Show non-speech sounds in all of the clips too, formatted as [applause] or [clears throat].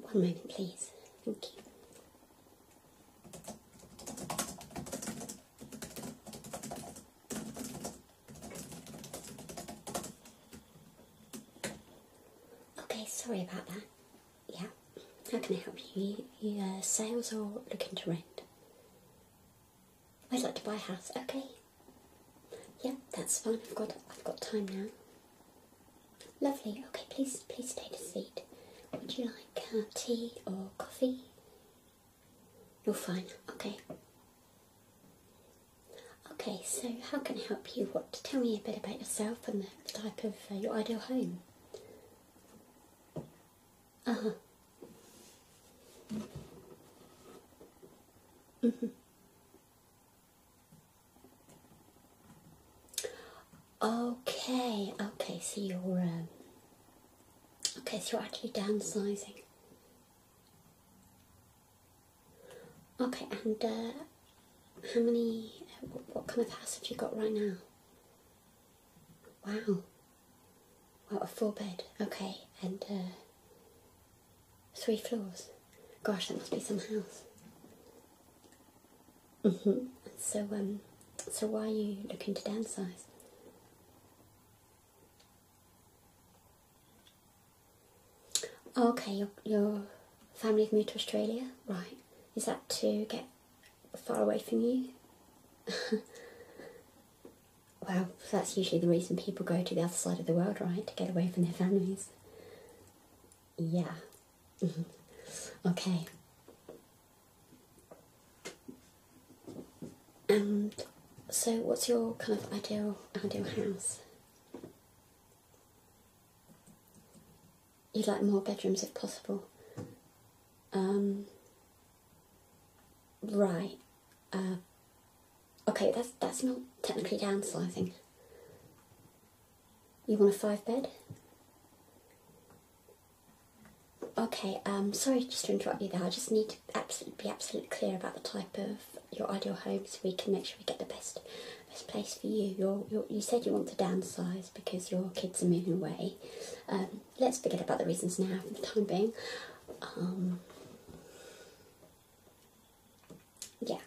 One minute, please. Thank you. Okay, sorry about that. Yeah, how can I help you? You, you uh, sales or looking to rent? I'd like to buy a house. Okay. Yeah, that's fine. I've got I've got time now. Lovely. Okay, please please take a seat. Would you like uh, tea or coffee? You're fine. Okay. Okay, so how can I help you? What? Tell me a bit about yourself and the type of uh, your ideal home. Uh-huh. Mm-hmm. Okay, okay, so you're um, okay, so you're actually downsizing. Okay, and uh, how many? Uh, what kind of house have you got right now? Wow. Well, a four bed? Okay, and uh, three floors. Gosh, that must be some house. Mm So, um, so why are you looking to downsize? Okay, your, your family moved to Australia, right? Is that to get far away from you. [laughs] well, that's usually the reason people go to the other side of the world, right? To get away from their families. Yeah. [laughs] okay. And um, so, what's your kind of ideal ideal house? You'd like more bedrooms if possible. Um, right. Uh, okay, that's that's not technically downsizing. You want a five bed? Okay, um, sorry just to interrupt you there. I just need to absolutely, be absolutely clear about the type of your ideal home so we can make sure we get the best best place for you. You're, you said you want to downsize because your kids are moving away. Um, let's forget about the reasons now for the time being. Um, yeah.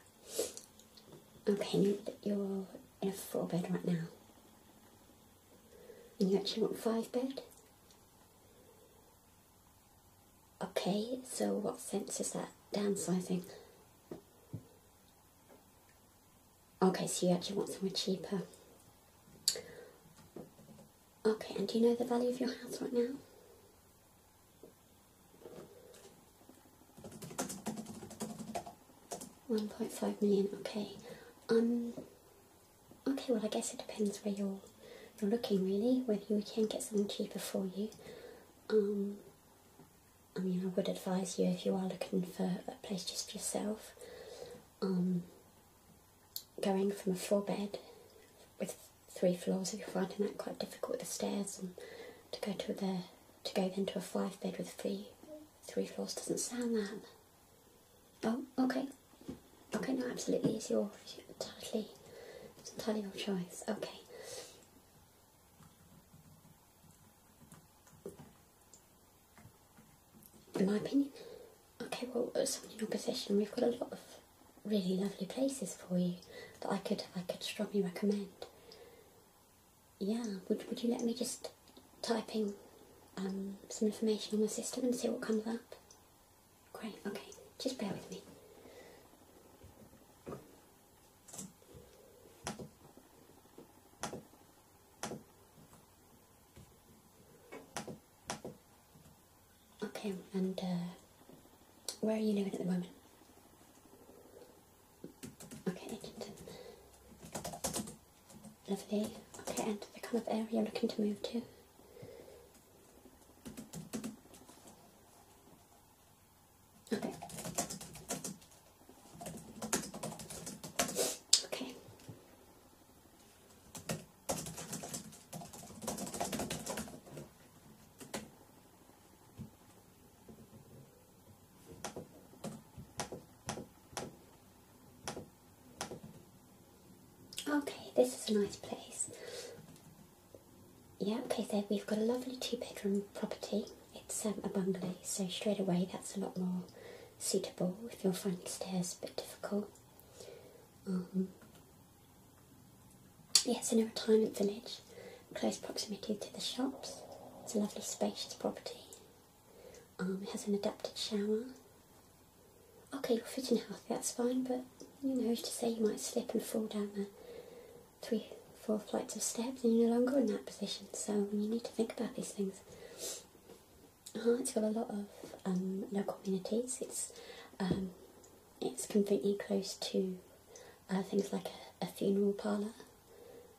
Okay, you're in a four bed right now. And you actually want five bed? Okay, so what sense is that downsizing? Okay, so you actually want somewhere cheaper. Okay, and do you know the value of your house right now? One point five million. Okay. Um. Okay. Well, I guess it depends where you're you're looking really. Whether you can get something cheaper for you. Um. I mean, I would advise you if you are looking for a place just for yourself um, going from a four bed with three floors, if you're finding that quite difficult with the stairs, to go to the to go then to a five bed with three three floors doesn't sound that. Oh, okay, okay, no, absolutely, it's your totally, it's entirely your choice. Okay in my opinion. Okay, well, something in your possession. we've got a lot of really lovely places for you that I could I could strongly recommend. Yeah, would would you let me just type in um, some information on the system and see what comes up? Great. Okay, just bear with me. Okay, and uh, where are you living at the moment? Okay, Edmonton. Lovely. Okay, and the kind of area you're looking to move to? Okay. Okay. Okay, this is a nice place. Yeah, okay, so we've got a lovely two bedroom property it's um, a bungalow, so straight away that's a lot more suitable if you're finding stairs a bit difficult. Um, it's in a retirement village, close proximity to the shops. It's a lovely spacious property. Um, it has an adapted shower. Okay, you're fit and healthy, that's fine, but you know, who's to say you might slip and fall down there three, four flights of steps and you're no longer in that position. So you need to think about these things. Uh, it's got a lot of local um, amenities. It's um, it's conveniently close to uh, things like a, funeral parlour,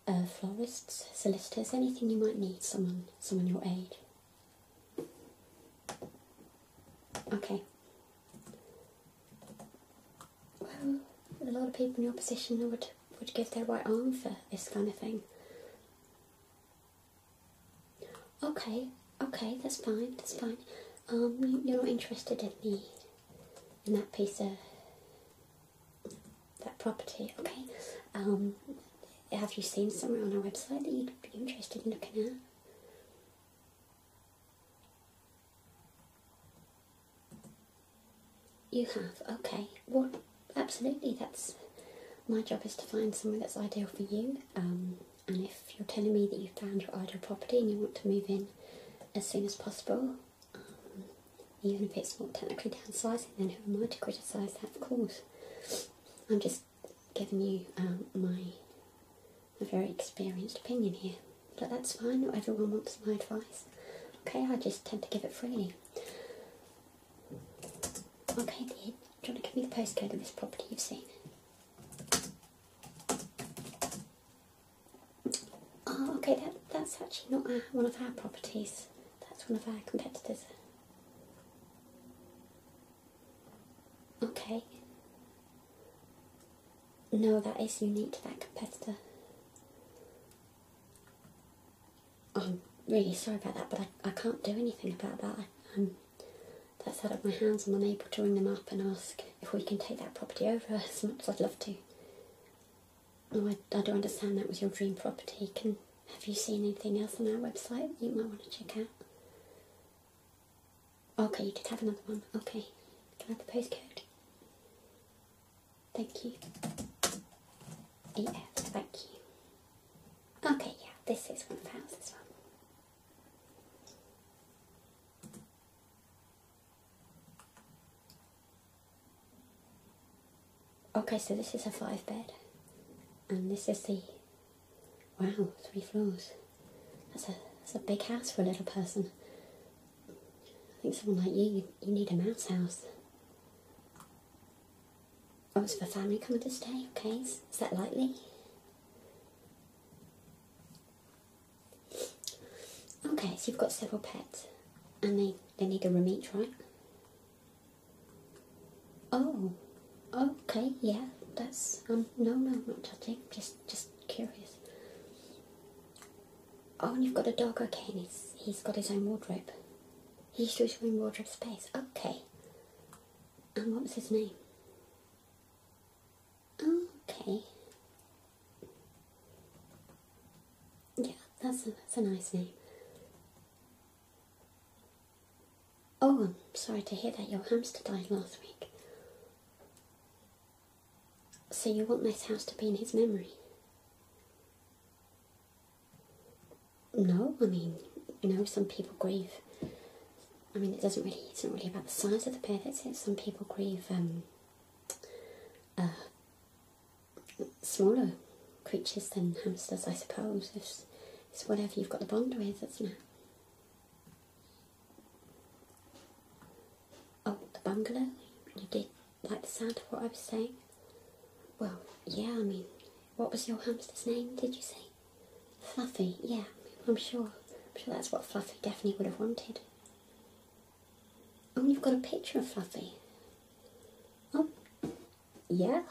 uh, florists, solicitors, anything you might need. Someone, someone your age. Okay well, a lot of people in your position would would give their right arm for this kind of thing. Okay, okay, that's fine, that's fine. Um, you're not interested in the in that piece of that property, okay? Um, have you seen somewhere on our website that you'd be interested in looking at? You have, okay. Well, absolutely, that's my job is to find somewhere that's ideal for you. Um, and if you're telling me that you found your ideal property and you want to move in as soon as possible, um, even if it's not technically downsizing, then who am I to criticise that? Of course. I'm just giving you um, my very experienced opinion here but that's fine, not everyone wants my advice. Okay, I just tend to give it freely. Okay, dear, do to give me the postcode of this property you've seen? Oh, okay, that, that's actually not one of our properties. That's one of our competitors. Okay. No, that is unique to that competitor. I'm really sorry about that, but I, I can't do anything about that. I, um, that's out of my hands. I'm unable to ring them up and ask if we can take that property over [laughs] as much as I'd love to. No, I, I don't understand that was your dream property. Can Have you seen anything else on our website that you might want to check out? Okay, you did have another one. Okay, can I have the postcode? Thank you. Yeah, thank you. Okay, yeah, this is one one pound as well. Okay, so this is a five bed, and this is the wow, three floors. That's a that's a big house for a little person. I think someone like you, you, need a mouse house. Oh, is the family coming to stay? Okay, is, is that likely? Okay, so you've got several pets and they, they need a room each, right? Oh, okay, yeah, that's, um, no, no, not touching, just, just curious. Oh, and you've got a dog, okay, and he's, he's got his own wardrobe. He used to his own wardrobe space, okay. And what was his name? Okay. Yeah, that's that's a nice name. Oh, I'm sorry to hear that your hamster died last week. So you want this house to be in his memory? No, I mean, you know, some people grieve. I mean, it doesn't really, it's not really about the size of the pet. it's it. Some people grieve um, uh, smaller creatures than hamsters, I suppose. It's, it's whatever you've got the bond with, isn't it? Oh, the bungalow? You did like the sound of what I was saying? Well, yeah, I mean, what was your hamster's name, did you say? Fluffy, yeah, I'm sure. I'm sure that's what Fluffy definitely would have wanted. Oh, you've got a picture of Fluffy. Oh, yeah.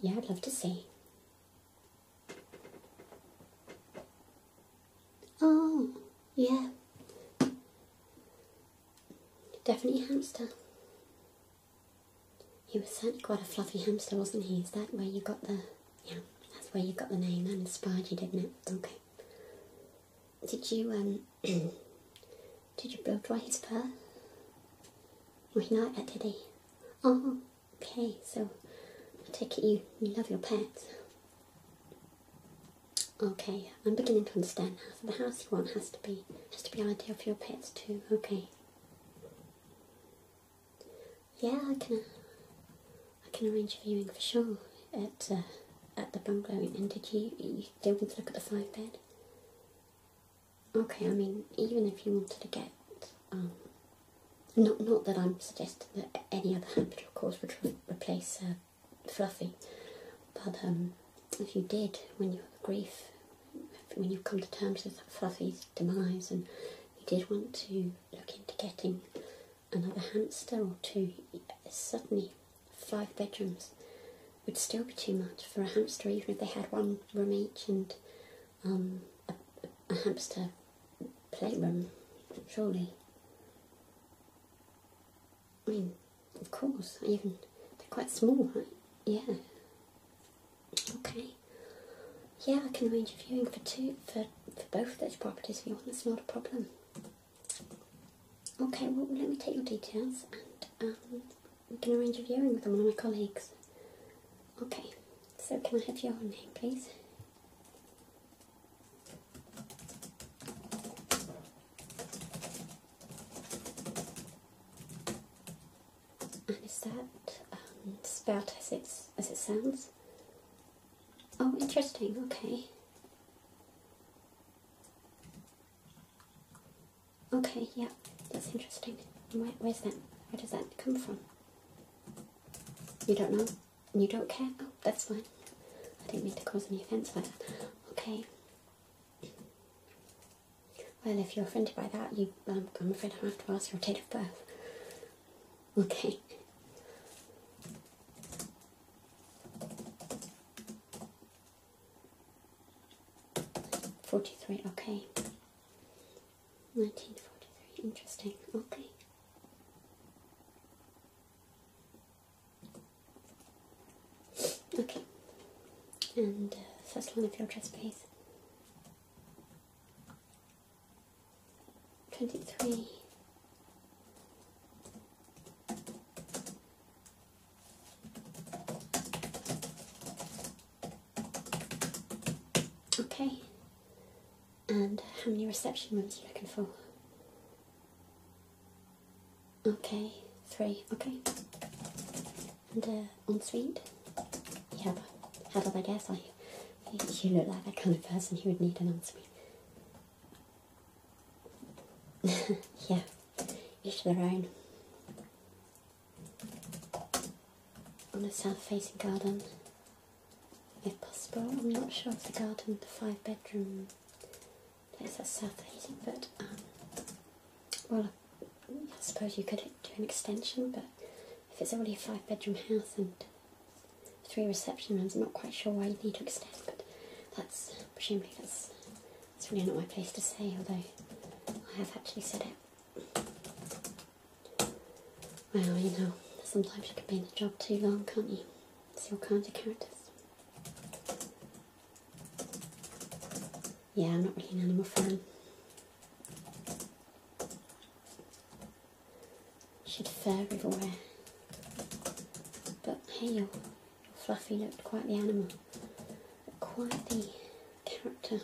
Yeah, I'd love to see. Oh, yeah. Definitely hamster. He was certainly quite a fluffy hamster, wasn't he? Is that where you got the... Yeah, that's where you got the name. That inspired you, didn't it? Okay. Did you, um... [clears throat] did you blow dry his fur? Was he not that, uh, did he? Oh. Okay, so I take it you love your pets. Okay, I'm beginning to understand now. So the house you want has to be has to be ideal for your pets too. Okay. Yeah, I can I can arrange viewing for sure at uh, at the bungalow. And did you you still want to look at the five bed? Okay, I mean even if you wanted to get um, not, not that I'm suggesting that any other hamster, of course, would replace uh, fluffy, but um, if you did, when you have grief, when you've come to terms with fluffy's demise, and you did want to look into getting another hamster or two, suddenly five bedrooms would still be too much for a hamster, even if they had one room each and um, a hamster playroom, surely. I mean, of course, even they're quite small, Yeah. Okay. Yeah, I can arrange a viewing for two for, for both those properties if you want, that's not a problem. Okay, well let me take your details and um, we can arrange a viewing with one of my colleagues. Okay, so can I have your name, please? And is that um, spelled as it as it sounds? Oh, interesting. Okay. Okay, yeah, that's interesting. where's that? Where does that come from? You don't know? You don't care? Oh, that's fine. I didn't mean to cause any offence But Okay. Well, if you're offended by that, you, um, I'm afraid I have to ask your date of birth. Okay. Forty-three. Okay. 1943. Interesting. Okay. Okay. And uh, first line of your address, please. 23. Okay. And how many reception rooms are you looking for? Okay, three. Okay. And uh, ensuite? Yeah, how did I guess? I, [laughs] you look like that kind of person who would need an ensuite. [laughs] yeah, each to their own on a south facing garden if possible. I'm not sure if the garden, the five bedroom place that's south facing, but um, well, I suppose you could do an extension, but if it's already a five bedroom house and three reception rooms, I'm not quite sure why you need to extend, but that's presumably that's, that's really not my place to say, although I have actually said it. Well, you know, sometimes you can be in a job too long, can't you? See all kinds of characters. Yeah, I'm not really an animal fan. Should fur everywhere. But hey, your fluffy looked quite the animal, quite the character.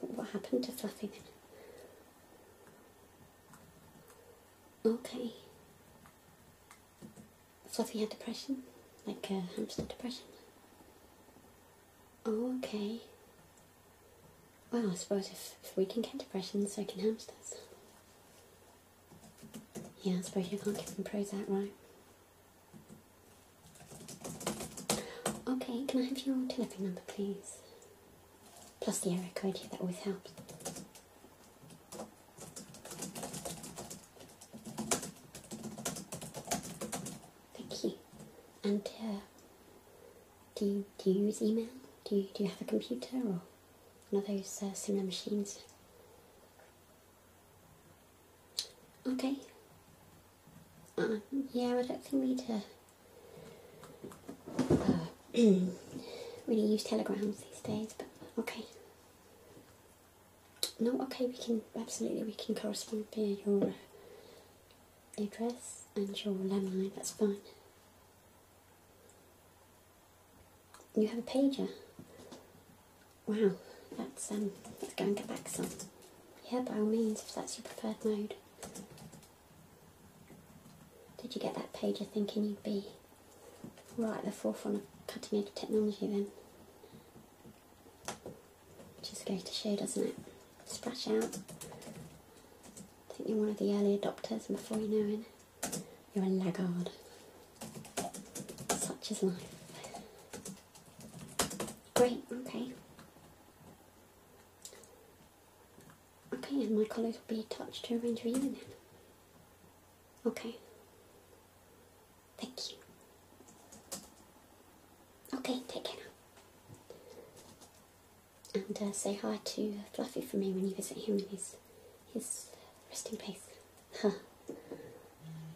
What happened to Fluffy then? Okay. Fluffy had depression, like a hamster depression. Oh, okay. Well, I suppose if, we can get depression, so can hamsters. Yeah, I suppose you can't give them Prozac, right? Okay, can I have your telephone number, please? Plus the area code here, that always helps. Thank you. And uh, do, you, do you use email? Do you, do you have a computer or one of those uh, similar machines? Okay, uh, yeah, I don't think we need to uh, [clears throat] really use telegrams these days, but okay. No, okay, we can, absolutely, we can correspond via your uh, address and your landline, that's fine. You have a pager? Wow, that's um, let's go and get back some. Yeah, by all means, if that's your preferred mode. Did you get that pager? thinking you'd be right at the forefront of cutting edge technology then? Just goes to show, doesn't it? Splash out. I think you're one of the early adopters, and before you know it, you're a laggard. Such is life. Great, okay. Okay, and my colours will be attached to a range of you then. Okay. Thank you. Okay, take care now. And uh, say hi to Fluffy for me when you visit him in his, his resting place. Huh. [laughs]